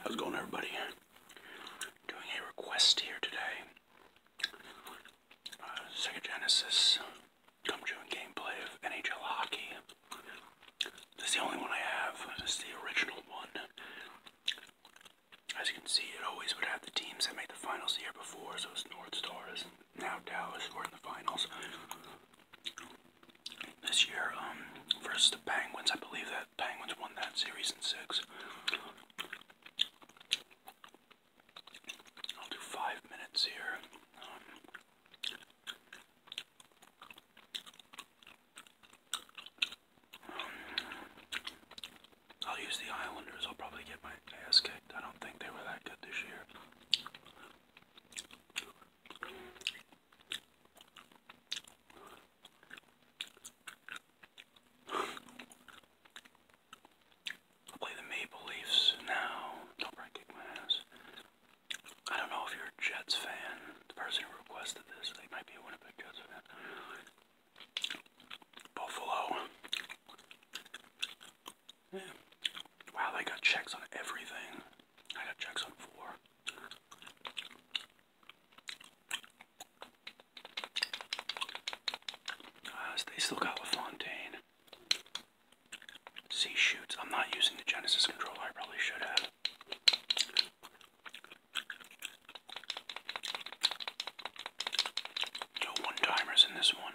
How's it going, everybody? Doing a request here today. Uh, Sega Genesis Come True gameplay of NHL Hockey. This is the only one I have. This is the original one. As you can see, it always would have the teams that made the finals the year before, so it's North Stars and now Dallas were in the finals this year um, versus the Penguins. I believe that Penguins won that series in six. I'll do five minutes here. Um, I'll use the Islanders. I'll probably get my ass kicked. I don't think they were that good this year. Play the Maple Leafs now. Don't probably kick my ass. I don't know if you're a Jets fan. The person who requested this, they might be a Winnipeg Jets fan. Buffalo. Wow, they got checks on everything. I got checks on four. Uh, they still got LaFontaine. C shoots. I'm not using the Genesis controller. I probably should have. No one timers in this one.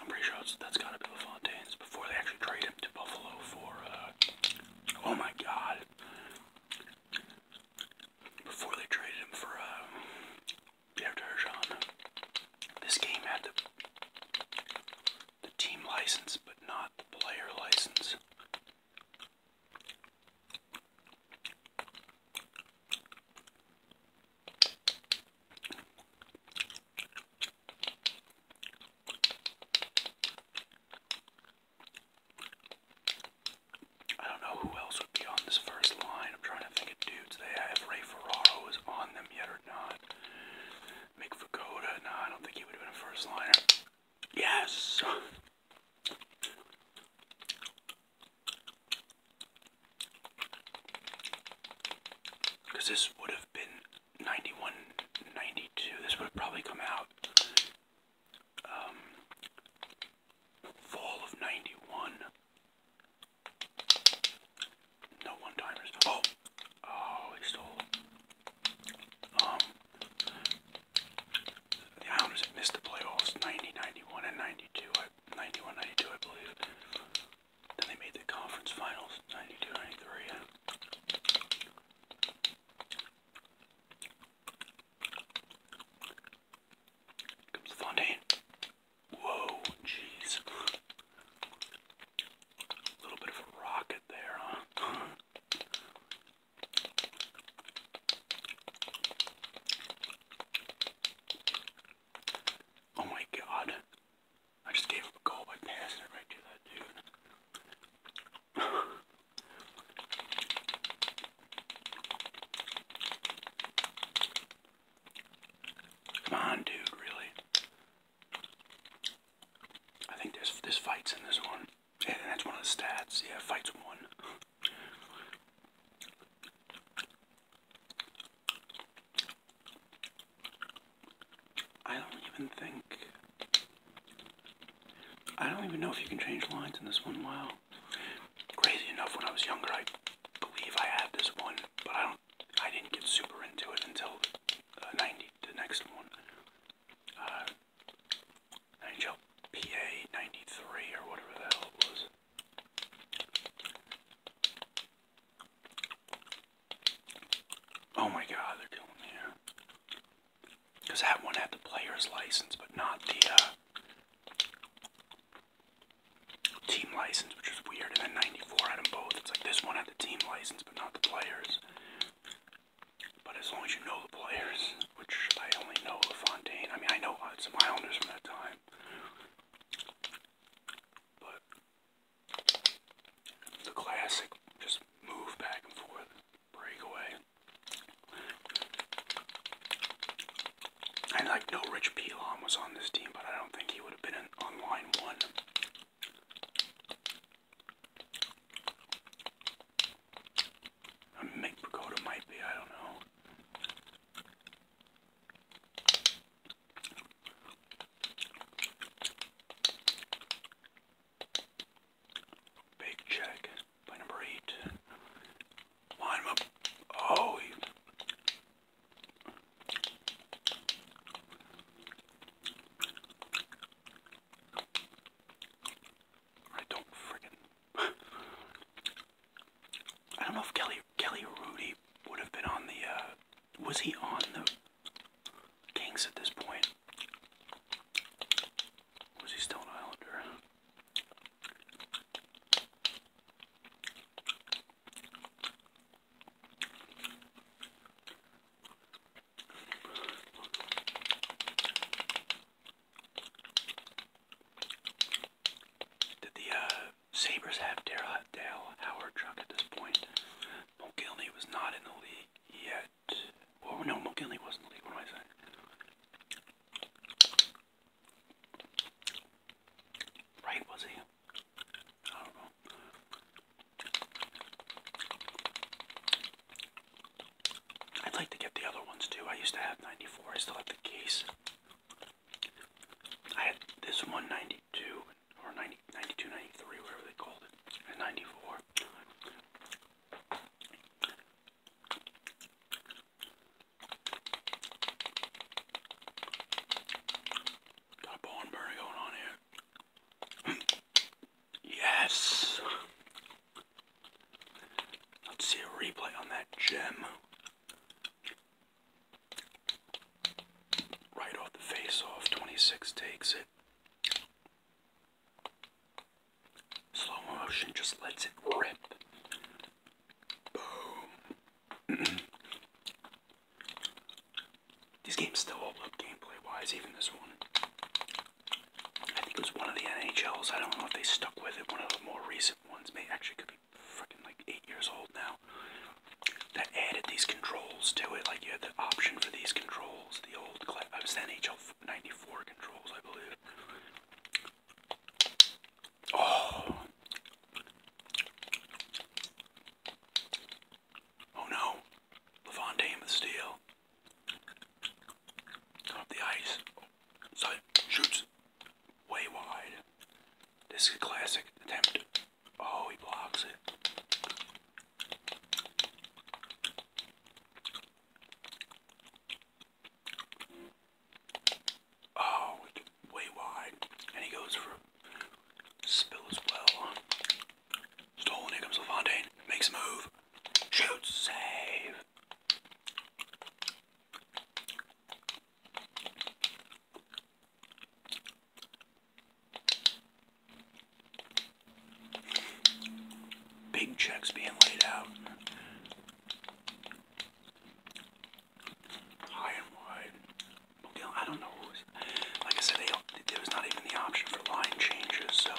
I'm pretty sure that's got to be LaFontaine's before they actually traded him to Buffalo for, uh, oh my god. Before they traded him for, uh, Pierre Turgeon, this game had the team license, but not the player license. I don't know who else would be on this first line. I'm trying to think of dudes. They have Ray Ferraro is on them yet or not. Mick Fagoda, no, I don't think he would have been a first liner. Yes! Because this would have been 91, 92. This would have probably come out um, fall of 91. No one-timers. Oh! Oh, he stole. Um, the Islanders missed the playoffs 90, and 92. I, 91, I believe. Then they made the conference finals 92 93. comes Fontaine. Whoa, jeez. A little bit of a rocket there, huh? Oh my god. I just gave him a goal by passing it right to that dude. Come on, dude, really? I think there's this fights in this one. and that's one of the stats. Yeah, fights won. I don't even think. I don't even know if you can change lines in this one. Wow. Crazy enough, when I was younger, I believe I had this one, but I don't. I didn't get super into it until uh, 90, the next one. Uh, NHLPA 93 or whatever the hell it was. Oh my god, they're killing me Because that one had the player's license, but not the uh, team license, which is weird. And then 94 had them both. It's like this one had the team license, but not the players. But as long as you know the players, which I only know LaFontaine. I mean, I know some Islanders from that time. But the classic, just move back and forth, breakaway. And like no Rich Pelon was on this team, but I don't think he would have been on line one. Mick Pagoda might be, I don't know. Big check number eight. Line him up. Oh, I don't friggin' I don't know if Kelly Kelly Rudy would have been on the uh, was he on the Kings at this point? Was he still an Islander? Did the uh, Sabres have Dale, Dale Howard drunk at this point. Mulgilney was not in the league yet. Well, no, Mulgilney wasn't in the league. What am I Right, was he? I don't know. I'd like to get the other ones too. I used to have 94. I still have the case. I had this one or 90, 92, they called it, and 94. a bone burner going on here. yes! Let's see a replay on that gem. Right off the face off, 26 takes it. Slow motion just lets it rip. Boom. These games still hold up gameplay wise, even this one. I think it was one of the NHLs. I don't know if they stuck with it. One of the more recent ones may actually could be freaking like eight years old now. That added these controls to it. Like you had the option for these controls. The old uh, it was the NHL '94 controls, I believe. Oh. Oh no. Levante with steel. Cut up the ice. Oh, shoots way wide. This is a classic attempt. Oh, he blocks it. Oh, way wide. And he goes for a spill as well. Stolen, here comes LaFontaine. Makes a move. Shoots, save. Big checks being laid out high and wide. You I don't know. like I said, there was not even the option for line changes, so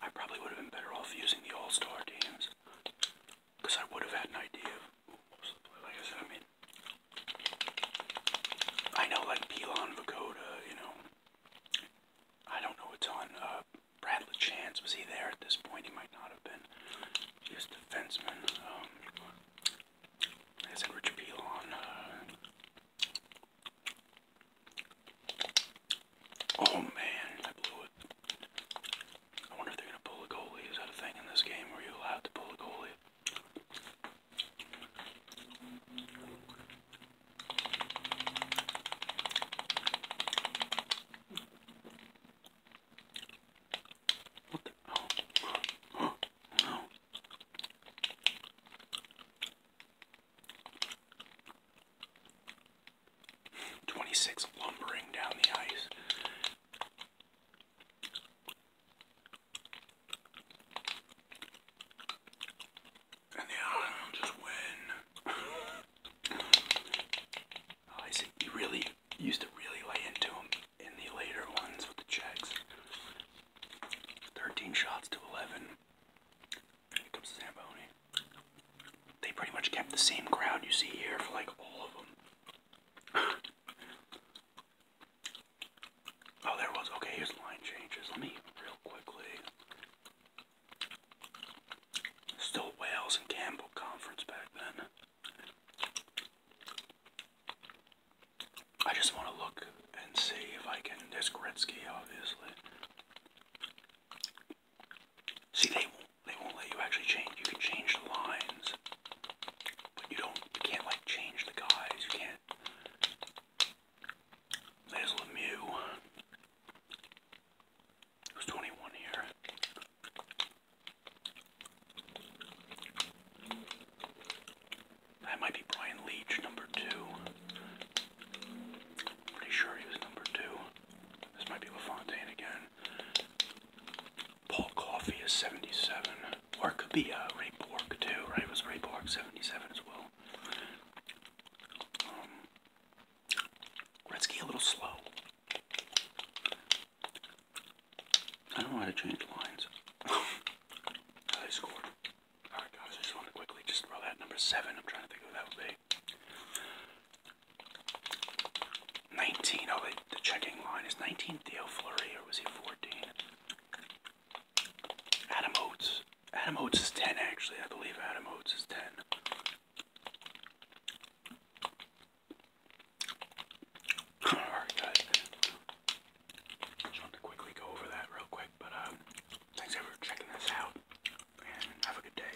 I probably would have been better off using the All Star teams because I would have had an idea. Like I said, I mean, I know like Pelon Vakoda, you know. I don't know what's on. Uh, Brad was he there at this point? He might not have been. He defenseman. Um, I said, Richard Pelon. Uh, oh man, I blew it. I wonder if they're going to pull a goalie. Is that a thing in this game? Are you allowed to pull a goalie? Oh, Twenty-six lumbering down the ice. And the island win. Oh, I see. You really used to really lay into him in the later ones with the checks. 13 shots to 11. comes Zamboni. They pretty much kept the same crowd you see here for like all of them oh, there was. Okay, here's line changes. Let me real quickly. Still Wales and Campbell Conference back then. I just want to look and see if I can. There's Gretzky, obviously. See, they they won't let you actually change. You can change the lines, but you don't. You can't like change the guys. You can't. There's Lemieux. Who's 21 here? That might be Brian Leach, number 2 pretty sure he was number two. This might be LaFontaine again. Paul Coffey is 77, or it could be uh, Ray Borg too, right? It was Ray Borg 77 as well. Um, Gretzky a little slow. I don't know how to change lines. I scored. Alright guys, just want to quickly just throw that number 7. I'm trying to think who that would be. 19, oh, the, the checking line is 19 Theo Fleury, or was he 14? Adam Oates. Adam Oates is 10, actually. I believe Adam Oates is 10. Alright, guys. Just wanted to quickly go over that real quick, but um, thanks for checking this out, and have a good day.